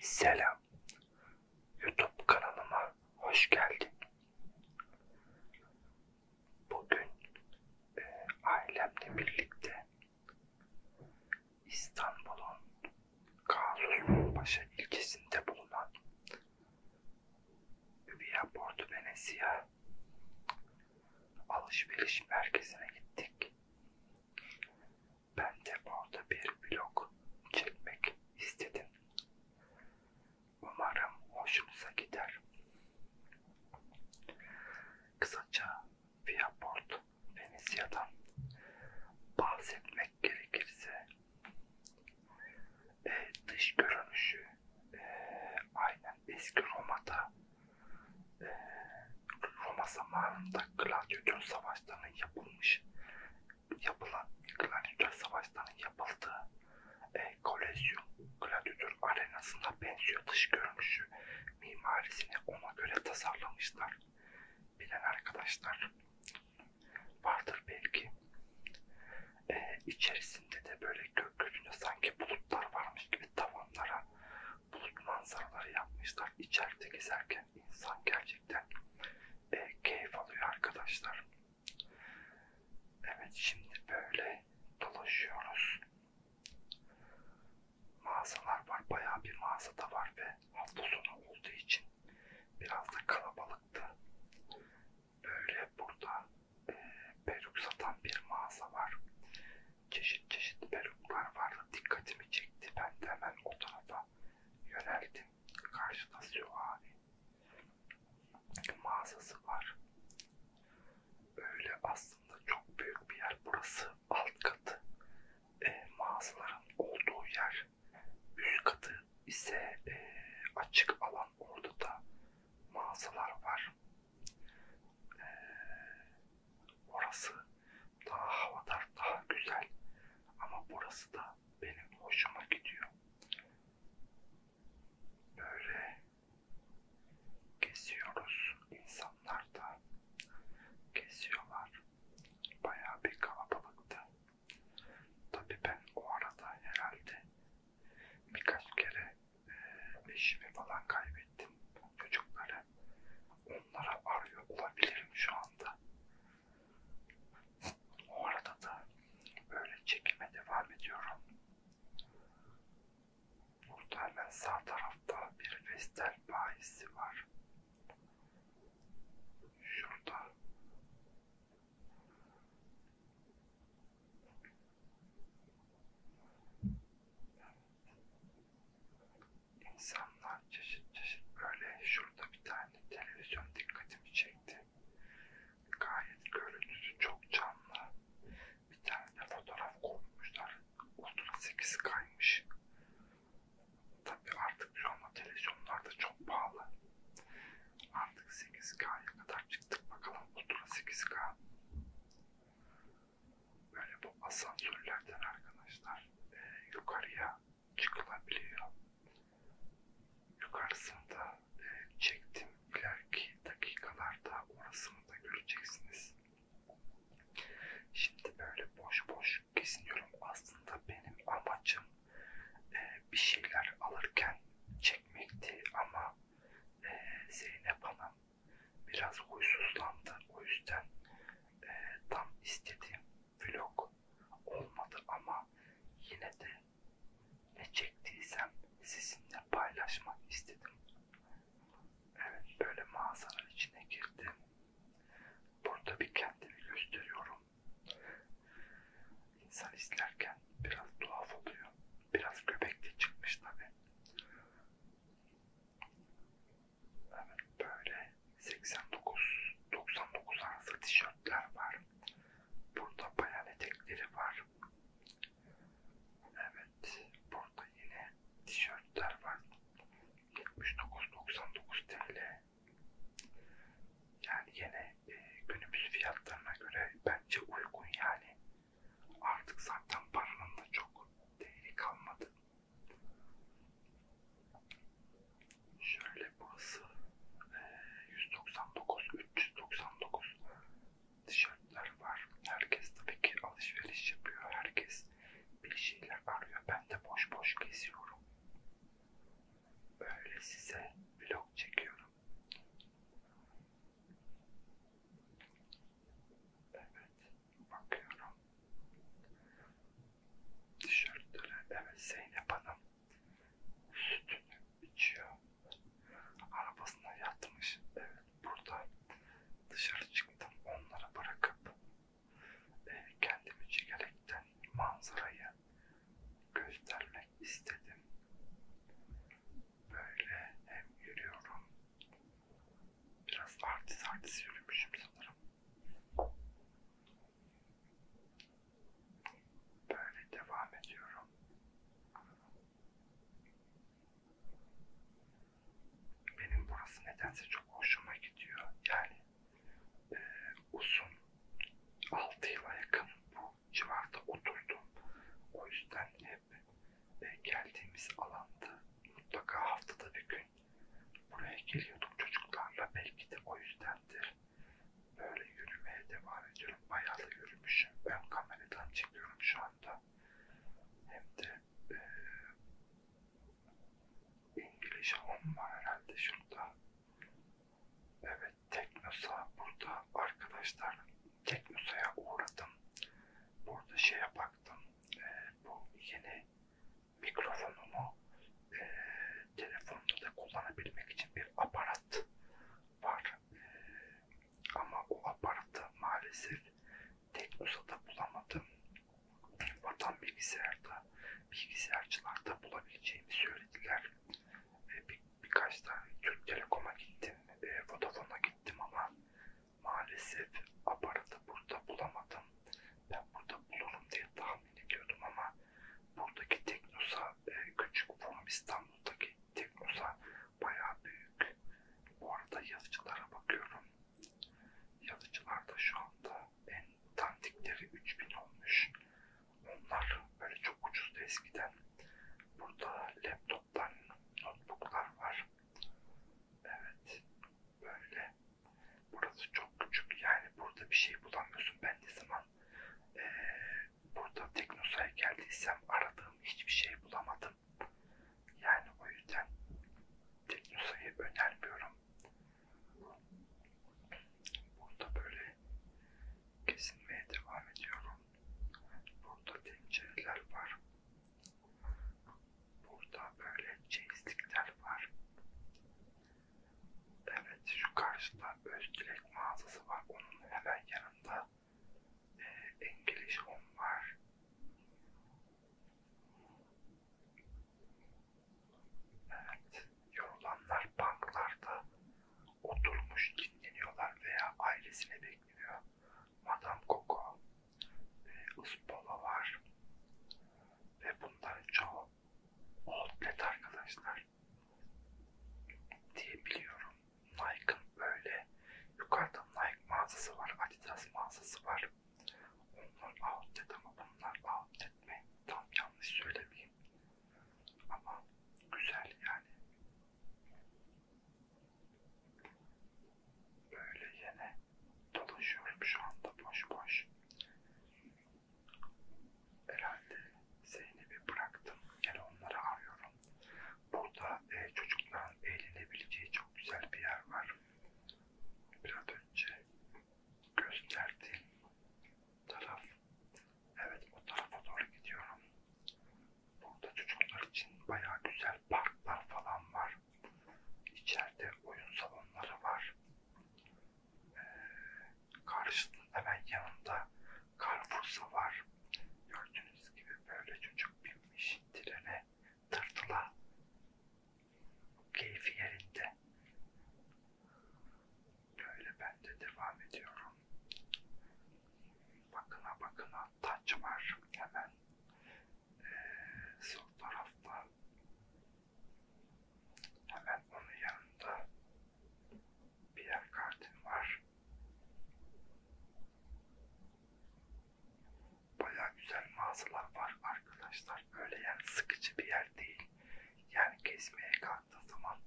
Selam. YouTube kanalıma hoş geldin. Bugün e, ailemle birlikte İstanbul'un Gaziosmanpaşa ilçesinde bulunan Via Porto Venezia alışveriş merkezine gittik. Ben de orada bir vlog çekmek istedim. Umarım hoşunuza gider. Kısaca Viaport Venezia'dan bahsetmek gerekirse e, dış görünüşü e, aynen eski Roma'da e, Roma zamanında gladyatör savaşlarının yapılmış yapılan gladyatör savaşlarının yapıldığı e, kolezyum gladyatör arenasına benziyor dış görünüşü mimarisini ona göre tasarlamışlar. Bilen arkadaşlar vardır belki. E, içerisinde de böyle gökyüzünde sanki bulutlar varmış gibi tavanlara bulut manzaraları yapmışlar. İçeride gezerken izlerken insan gerçekten e, keyif alıyor arkadaşlar. Evet şimdi böyle dolaşıyoruz. Mağazalar var. Bayağı bir mağazada var ve hafta sonu olduğu için biraz da kalabalıktı. Böyle burada e, peruk satan bir mağaza var. Çeşit çeşit peruklar var dikkatimi çekti. Ben de hemen o tarafa yöneldim. Karşıda süvari mağazası var. Öyle aslında çok büyük bir yer burası. Alt katı e, mağazaların olduğu yer. Üst katı ise e, açık alan. Orada da mağazalar var. E, Orası daha havadar, daha güzel. Ama burası da benim hoşuma gidiyor. Böyle geziyoruz. İnsanlar da geziyorlar. Bayağı bir kalabalıktı. Tabii ben o arada herhalde birkaç kere e, eşimi falan kaybettim ettim çocukları. Onlara arıyor olabilirim şu anda. O arada da böyle çekime devam ediyorum. Burada hemen sağ tarafta bir Vestel bayisi var. Şurada insanlar çeşit çeşit böyle şurada bir tane televizyon dikkatimi çekti. Gayet görüntüsü çok canlı. Bir tane de fotoğraf koymuşlar. Ultra 8 kaymış. Tabi artık şu anda televizyonlar da çok pahalı. Artık 8K'ya kadar çıktık bakalım Ultra 8K böyle bu asansörlerden arkadaşlar e, yukarıya çıkılabiliyor. Yukarısında e, çektim ileriki dakikalarda orasını da göreceksiniz. Şimdi böyle boş boş geziniyorum. Aslında benim amacım e, bir şeyler alırken çekmekti ama e, Zeynep Hanım Biraz huysuzlandı. O yüzden e, tam istediğim vlog olmadı ama yine de ne çektiysem sizinle paylaşmak istedim. Evet böyle mağazanın içine girdim. Burada bir kendimi gösteriyorum. İnsan izlerken biraz tuhaf oluyor. Biraz göbekli çıkmış tabi. Evet böyle 89-99 arası tişörtler var. Burada bayan etekleri var. Evet burada yine tişörtler var. 79-99 TL. Yani yine e, günümüz fiyatlarına göre bence uygun yani. Artık zaten paranın da çok değeri kalmadı. Şöyle burası 199, e, 399 tişörtler var. Herkes tabii ki alışveriş yapıyor. Herkes bir şeyler arıyor. Ben de boş boş geziyorum. Böyle size vlog çekiyorum. Evet, bakıyorum. Tişörtleri, evet Zeynep Hanım sütünü içiyor. Arabasına yatmış. Evet, burada dışarı çıktım. Onları bırakıp e, kendimi çekerekten manzarayı göstermek istedim. Böyle hem yürüyorum Biraz artist artist yürümüşüm sanırım. Böyle devam ediyorum. Benim burası nedense çok hoşuma gidiyor. Yani e, uzun 6 yıla yakın bu civarda oturdum. O yüzden hep e, geldiğimiz alanda mutlaka haftada bir gün buraya geliyorduk çocuklarla. Belki de o yüzdendir. Böyle yürümeye devam ediyorum. Bayağı da yürümüşüm. Ön kameradan çekiyorum şu anda. Hem de e, İngiliz Home var herhalde şurada. Evet Teknosa burada arkadaşlar Teknosa'ya uğradım. Burada şeye baktım. E, bu yeni mikrofonumu e, telefonda da kullanabilmek için bir aparat var. E, ama o aparatı maalesef Teknosa'da bulamadım. Vatan bilgisayarda, bilgisayarcılarda bulabileceğimi söylediler. E, bir, birkaç tane Türk Telekom'a gittim, e, Vodafone'a gittim ama Maalesef aparatı burada bulamadım. Ben burada bulurum diye tahmin ediyordum ama buradaki Teknosa e, küçük From İstanbul'daki Teknosa bayağı büyük. Bu arada yazıcılara bakıyorum. Yazıcılarda şu anda en tantikleri 3000 olmuş. Onlar böyle çok ucuzdu eskiden. Burada laptop laptoplar, notebooklar var. Evet, böyle. Burası çok küçük yani burada bir şey bulamıyorsun. Ben ne zaman e, burada Teknosa'ya geldiysem aradığım hiçbir şey bulamadım. Yani o yüzden Teknosa'yı önermiyorum. Burada böyle kesinmeye devam ediyorum. Burada tencereler var. Burada böyle çeyizlikler var. Evet şu karşıda Özgürek mağazası var. Onun hemen yanında e, İngiliz Home var. Evet, yorulanlar banklarda Oturmuş dinleniyorlar veya ailesine bekliyor. Madame Coco ve Ispola var. Ve bunların çoğu outlet arkadaşlar diye biliyorum. Nike'ın böyle yukarıda Nike mağazası var, Adidas mağazası var. Onlar outlet ama bunlar outlet mi? Tam yanlış söylemeyeyim. Ama güzel yani. Böyle yine dolaşıyorum şu anda boş boş. Herhalde Zeynep'i bıraktım. Yani onları arıyorum. Burada e, çocukların eğlenebileceği çok güzel bir yer var. Biraz önce gösterdiğim taraf Evet o tarafa doğru gidiyorum. Burada çocuklar için bayağı güzel parklar falan var. İçeride oyun salonları var. Ee, karşısında hemen yanında Carrefour'sa var. Gördüğünüz gibi böyle çocuk binmiş trene tırtıla. Keyfi yerinde. Böyle ben de devam ediyorum bakına bakına taç var hemen ee, sol tarafta hemen onun yanında bir yer kartım var baya güzel mağazalar var arkadaşlar öyle yani sıkıcı bir yer değil yani gezmeye kalktığı zaman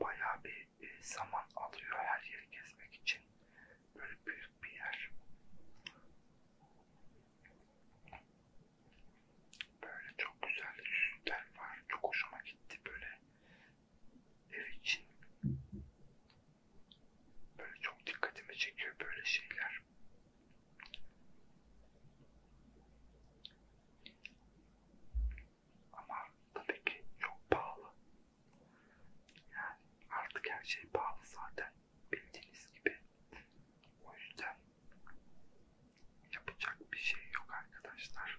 baya bir zaman alıyor her yeri gezmek için. Böyle büyük bir yer. Böyle çok güzel süsler var. Çok hoşuma gitti böyle ev için. Böyle çok dikkatimi çekiyor böyle şeyler. Ama tabii ki çok pahalı. Yani artık her şey pahalı zaten bildiğiniz gibi. O yüzden yapacak bir şey yok arkadaşlar.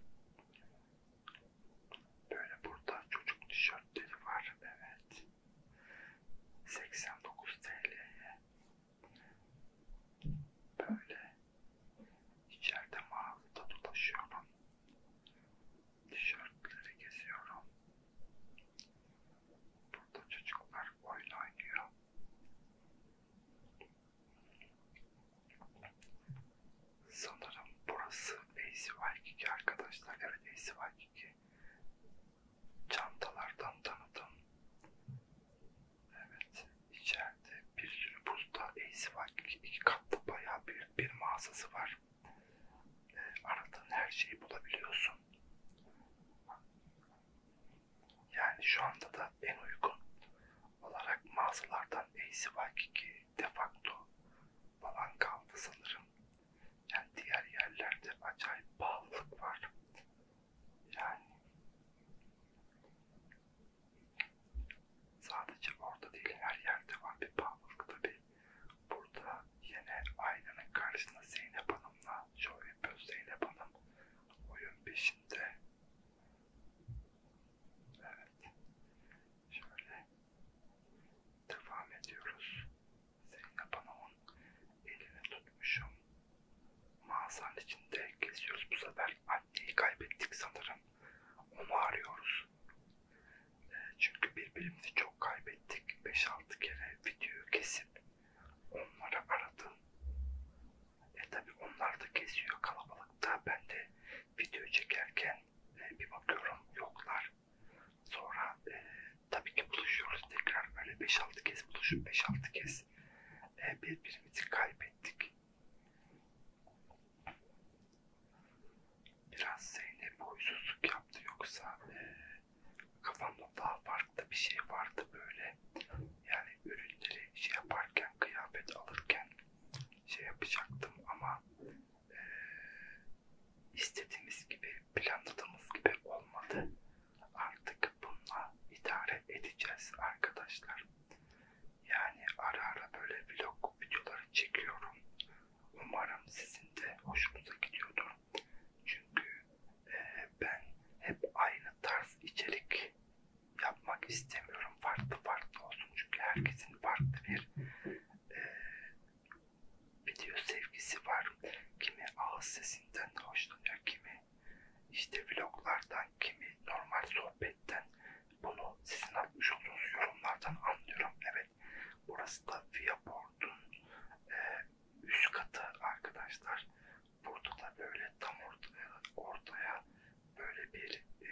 Böyle burada çocuk tişörtleri var. Evet. 89 TL'ye böyle İçeride mağazada dolaşıyorum. Tişörtleri geziyorum. Burada çocuklar oyun oynuyor. Sanırım burası AC Waikiki arkadaşlar. Evet AC Waikiki. Çantalardan tanıdım. Evet içeride bende. Bir sürü posta E'si var. İki, iki katlı bayağı büyük bir mağazası var. E, aradığın her şeyi bulabiliyorsun. Yani şu anda da en uygun olarak mağazalardan E'si var ki defakto falan kaldı sanırım. Yani diğer yerlerde acayip pahalılık var. Yani Sadece orada değil her yerde var bir pahalılık tabi. Burada yine aynanın karşısında Zeynep Hanım'la şov yapıyor. Zeynep Hanım oyun peşinde. Evet. Şöyle devam ediyoruz. Zeynep Hanım'ın elini tutmuşum. Mağazanın içinde geziyoruz bu sefer. Anneyi kaybettik sanırım. Onu arıyoruz. E, çünkü birbirimizi çok kaybettik. 5-6 kere videoyu kesip onları aradım. E tabi onlar da kesiyor kalabalıkta. Ben de video çekerken e, bir bakıyorum yoklar. Sonra e, tabii ki buluşuyoruz tekrar böyle 5-6 kez buluşup 5-6 kez e, birbirimizi kaybettik. Biraz Zeynep huysuzluk yaptı yoksa e, kafamda daha farklı bir şey vardı böyle. Yani ürünleri şey yaparken, kıyafet alırken şey yapacaktım ama e, istediğimiz gibi, planladığımız gibi olmadı. Artık bununla idare edeceğiz arkadaşlar. Yani ara ara böyle vlog videoları çekiyorum. Umarım sizin de hoşunuza gidiyordur. Çünkü e, ben hep aynı tarz içerik yapmak istemiyorum. Farklı farklı olsun. Çünkü herkesin farklı bir e, video sevgisi var. Kimi ağız sesinden hoşlanıyor, kimi işte vloglardan kimi normal sohbetten bunu sizin atmış olduğunuz yorumlardan anlıyorum. Evet burası da Viaport'un e, üst katı arkadaşlar. Burada da böyle tam ortaya, e, ortaya böyle bir e,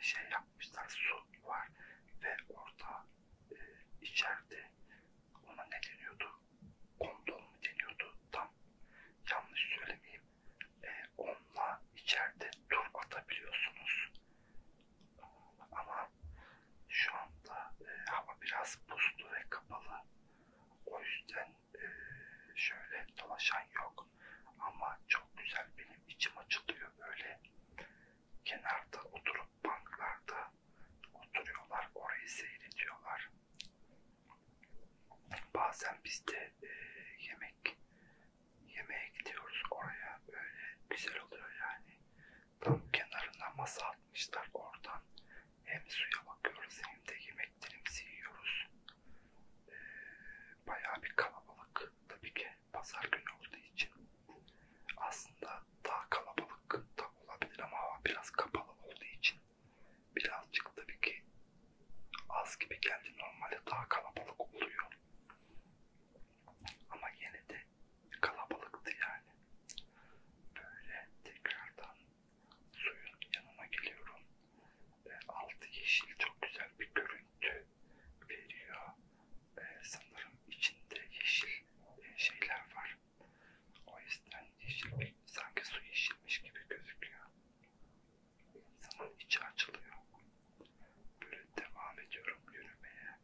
şey yapmışlar. Su var ve orada e, içeride ona ne deniyordu? Kondom mu deniyordu? Tam yanlış söylemeyeyim e, onunla içeride tur atabiliyorsunuz. Ama şu anda e, hava biraz puslu ve kapalı. O yüzden e, şöyle dolaşan yok. Ama çok güzel benim içim açılıyor böyle. Kenarda oturup banklarda oturuyorlar. Orayı seyrediyorlar. Bazen biz de e, yemek yemeğe gidiyoruz oraya böyle güzel oluyor yani. Tam kenarına masa atmışlar oradan. Hem suya bakıyoruz hem de yemeklerimizi yiyoruz. E, bayağı bir kalabalık. Tabii ki pazar günü olduğu için aslında daha kalabalık da olabilir ama hava biraz kapalı olduğu için Birazcık tabii ki az gibi geldi. Normalde daha kalabalık oluyor. Ama yine de kalabalıktı yani. Böyle tekrardan suyun yanına geliyorum. E, altı yeşil çok güzel bir görüntü veriyor. E, sanırım içinde yeşil e, şeyler var. O yüzden yeşil sanki su yeşilmiş gibi gözüküyor. İnsanın içi açılıyor. Böyle devam ediyorum yürümeye.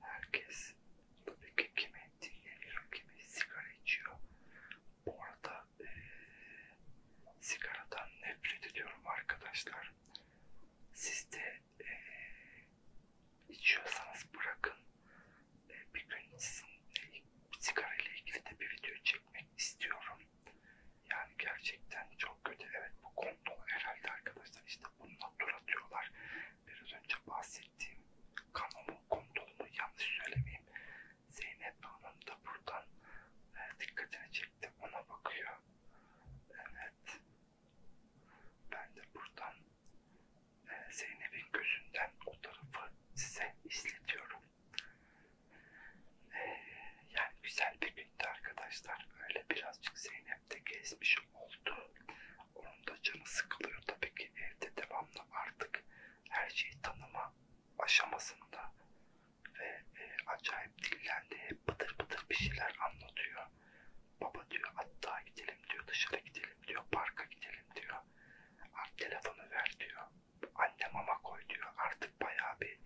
Herkes tabii ki kimi dinleniyor, kimi sigara içiyor. Bu arada e, sigaradan nefret ediyorum arkadaşlar. Siz de e, içiyorsanız bırakın. E, bir gün sizinle sigara ile ilgili de bir video çekmek istiyorum. Yani gerçekten çok kötü. Evet bu konu herhalde arkadaşlar işte bununla dur atıyorlar. Biraz önce bahsettiğim kanalı kondolumu yanlış söylemeyeyim. Zeynep Hanım da buradan e, dikkatini çekti. Ona bakıyor. Evet. Ben de buradan e, Zeynep'in gözünden o tarafı size izletiyorum. E, yani güzel bir bitti arkadaşlar. Öyle birazcık Zeynep de gezmiş oldu. Onun da canı sıkılıyor tabii ki evde devamlı artık her şeyi tanıma aşamasında ve e, acayip dillendi. Hep bıdır bıdır bir şeyler anlatıyor. Baba diyor hatta gidelim diyor dışarı gidelim diyor parka gidelim diyor. Art telefonu ver diyor. Anne mama koy diyor. Artık bayağı bir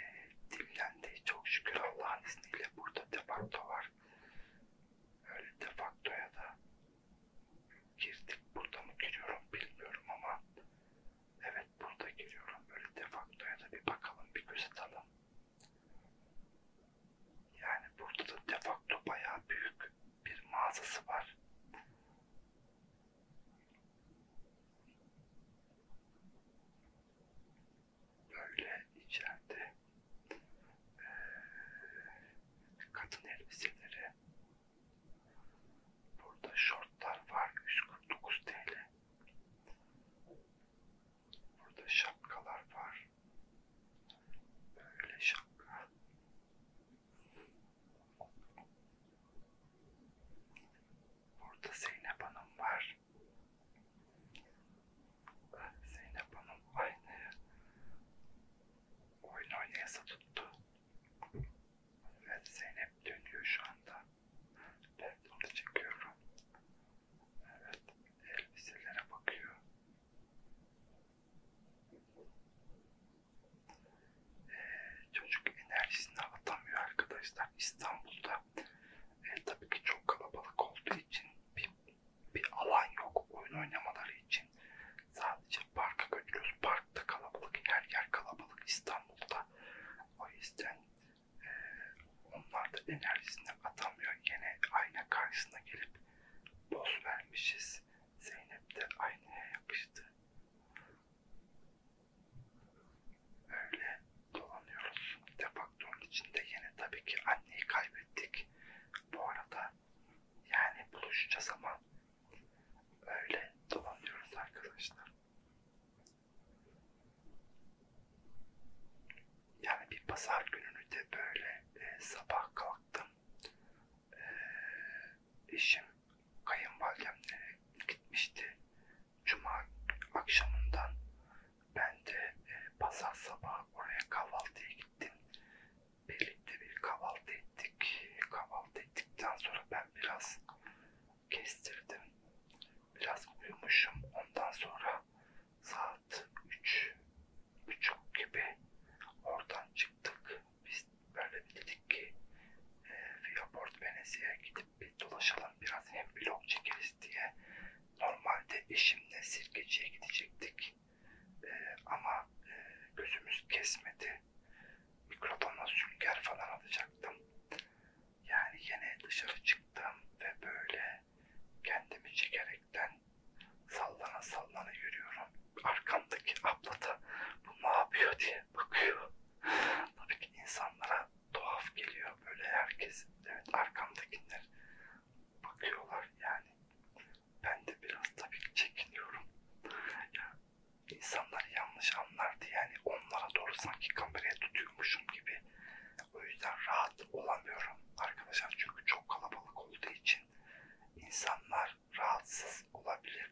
e, dinlendi. Çok şükür Allah'ın izniyle burada defakto var. Öyle defaktoya da girdik. Burada mı giriyorum bilmiyorum ama evet burada giriyorum. Böyle defaktoya da bir bakalım bir göz atalım. Yani burada da defakto bayağı büyük bir mağazası var. Böyle içeride e, kadın elbiseleri burada şortlar var 149 TL Burada şapkalar var. Böyle şapka. Burada Zeynep Hanım var. Zeynep Hanım aynı oyun oynayası tuttu. Evet Zeynep dönüyor şu anda. Ben onu çekiyorum. Evet, elbiselere bakıyor. Ee, çocuk enerjisini atamıyor arkadaşlar. İstanbul'da e, tabii ki çok kalabalık olduğu için bir, bir alan yok oyun oynamaları için. Sadece parka götürüyoruz. Parkta kalabalık, her yer kalabalık İstanbul'da. O yüzden onlar da enerjisini atamıyor. Yine ayna karşısına gelip boz vermişiz. Zeynep de aynaya yapıştı. Öyle dolanıyoruz. Defaktorun içinde yine tabii ki anneyi kaybettik. Bu arada yani buluşacağız ama öyle dolanıyoruz arkadaşlar. Yani bir pazar gününü de böyle e, sabah kalktım. E, eşim kayınvalidemlere gitmişti. Cuma akşamından ben de e, pazar sabahı oraya kahvaltıya gittim. Birlikte bir kahvaltı ettik. Kahvaltı ettikten sonra ben biraz kestirdim. Biraz uyumuşum. Ondan sonra saat üç buçuk gibi oradan çıktık. Biz böyle dedik ki e, Viaport Venezia gidip bir dolaşalım biraz hem vlog çekeriz diye. Normalde eşimle sirkeciye gidecektik. E, ama e, gözümüz kesmedi. Mikrodonla sünger falan alacaktım. Yani yine dışarı çıktım ve böyle kendimi çekerekten sallana sallana yürüyorum. Arkamdaki abla da bu ne yapıyor diye bakıyor. Tabii ki insanlara tuhaf geliyor böyle herkes. Evet arkamdakiler bakıyorlar yani. Ben de biraz tabii ki çekiniyorum. Ya insanlar yanlış anlardı yani onlara doğru sanki kameraya tutuyormuşum gibi gibi. O yüzden rahat olamıyorum arkadaşlar çünkü çok kalabalık olduğu için insanlar rahatsız olabilir.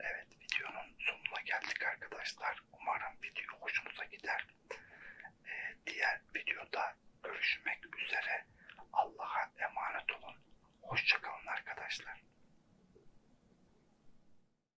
Evet videonun sonuna geldik arkadaşlar. Umarım video hoşunuza gider. Ee, diğer videoda görüşmek üzere. Allah'a emanet olun. Hoşçakalın arkadaşlar.